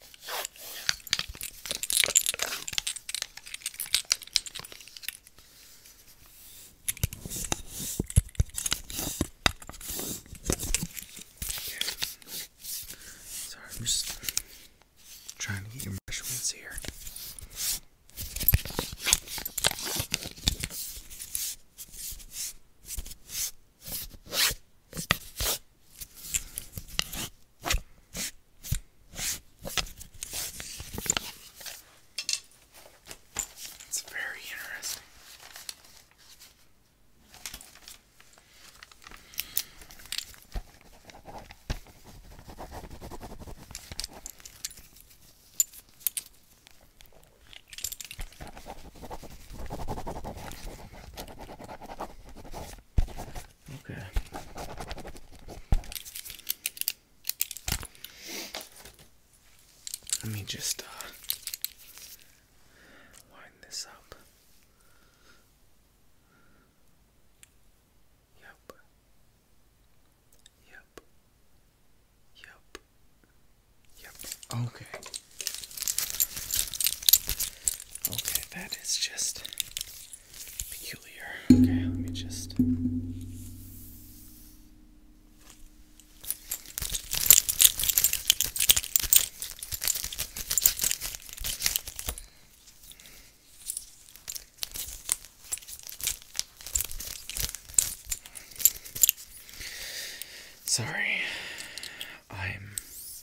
Sorry, I'm just trying to get your measurements here. It's very interesting. Okay. Let me just uh, this up. Yep. Yep. Yep. Yep. Okay. Okay, that is just peculiar. Okay, let me just. Sorry, I'm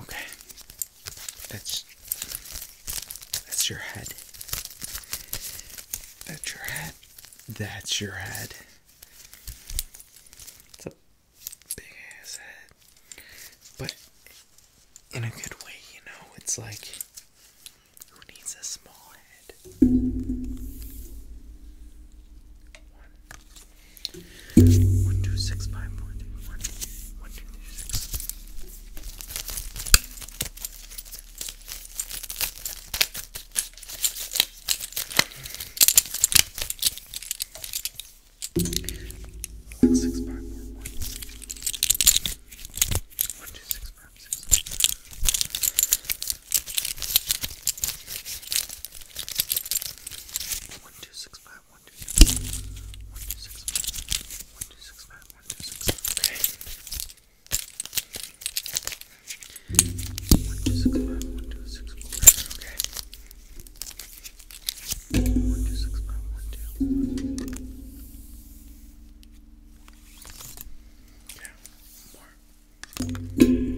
Okay. That's that's your head. That's your head. That's your head. It's a big ass head. But in a good way, you know, it's like who needs a small head? One, two, six, five, four, three, one, one, two, three, six. One, six, five, four, one, six. One, two, six, five, six. One, two, six, five, one, two, six, one, two, six, five, one, two, six, five, one, two, six, five. Okay. One, two, six, five, one, two, six, four. Okay. One, two, six, five, one, two. One, two. Okay. One more.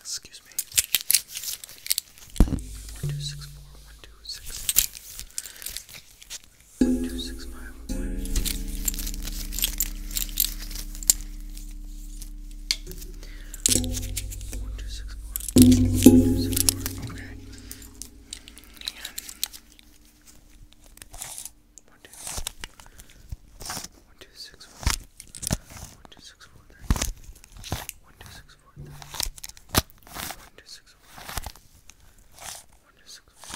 Excuse me. One two six four one two six one two six five one one, two, six, four. One, two, six, four. Okay. And one, two. One, two, six, four. One, two, six, four, three. One, two, six, four, three. One, two, six, four. One, two, six, four.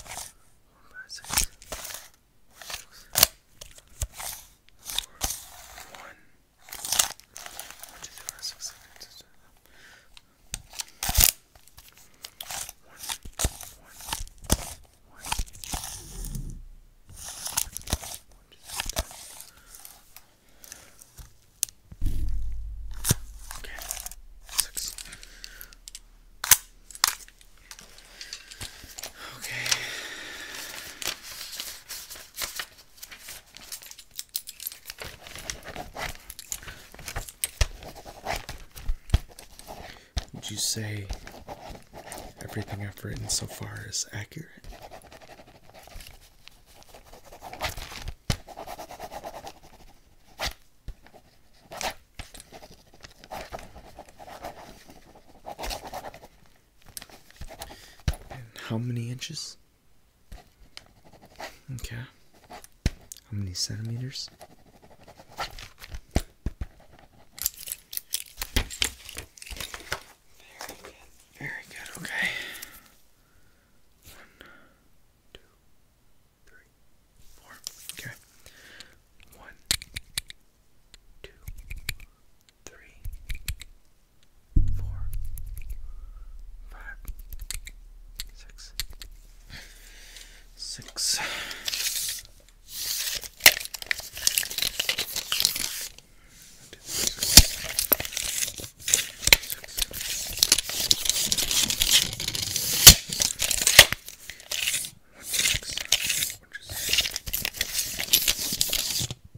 One, five, six. One, six. Four. One. One, two, three, five, six, seven, eight, six, seven. One, one, one, one, two, Okay, six. Okay. Would you say everything I've written so far is accurate? And how many inches? Okay. How many centimeters? Very good. Very good. Okay. One, two, three, four. Okay. One, two, three, four, five, six, six. One, six, one, six,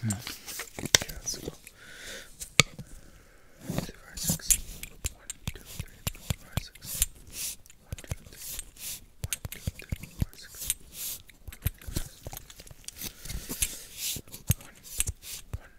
Hmm. Yeah, so five, six. One, two, three, four, five, six. One, two, three. One, two, three, four, six. One, two, three. One, one,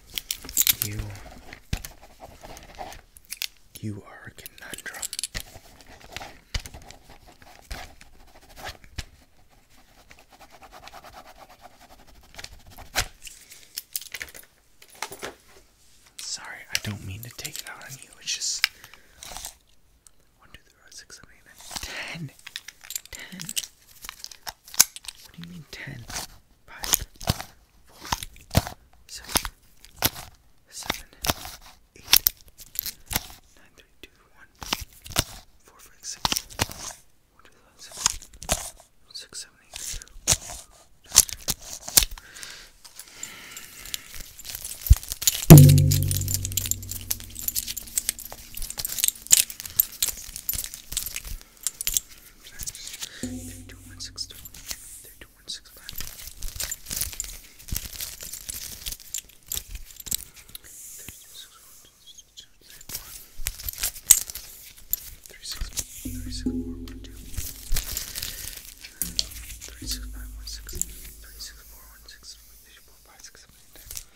You you are a conundrum. Sorry, I don't mean to take it out on you. It's just one, two, three, four, six, seven, eight, nine, ten, ten. What do you mean ten? five, four, six, seven, eight, nine, three, two, one, four, five, six, one, two, five, six, six, seven, eight, nine. Three six five one six three six four one six three four five six seven eight nine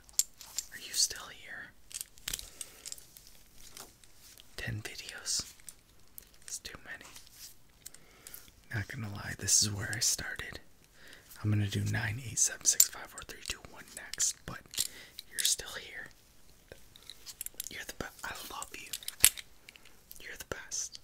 Are you still here? 10 videos. It's too many. Not gonna lie, this is where I started. I'm gonna do 987654321 next, but you're still here. You're the best. I love you. You're the best.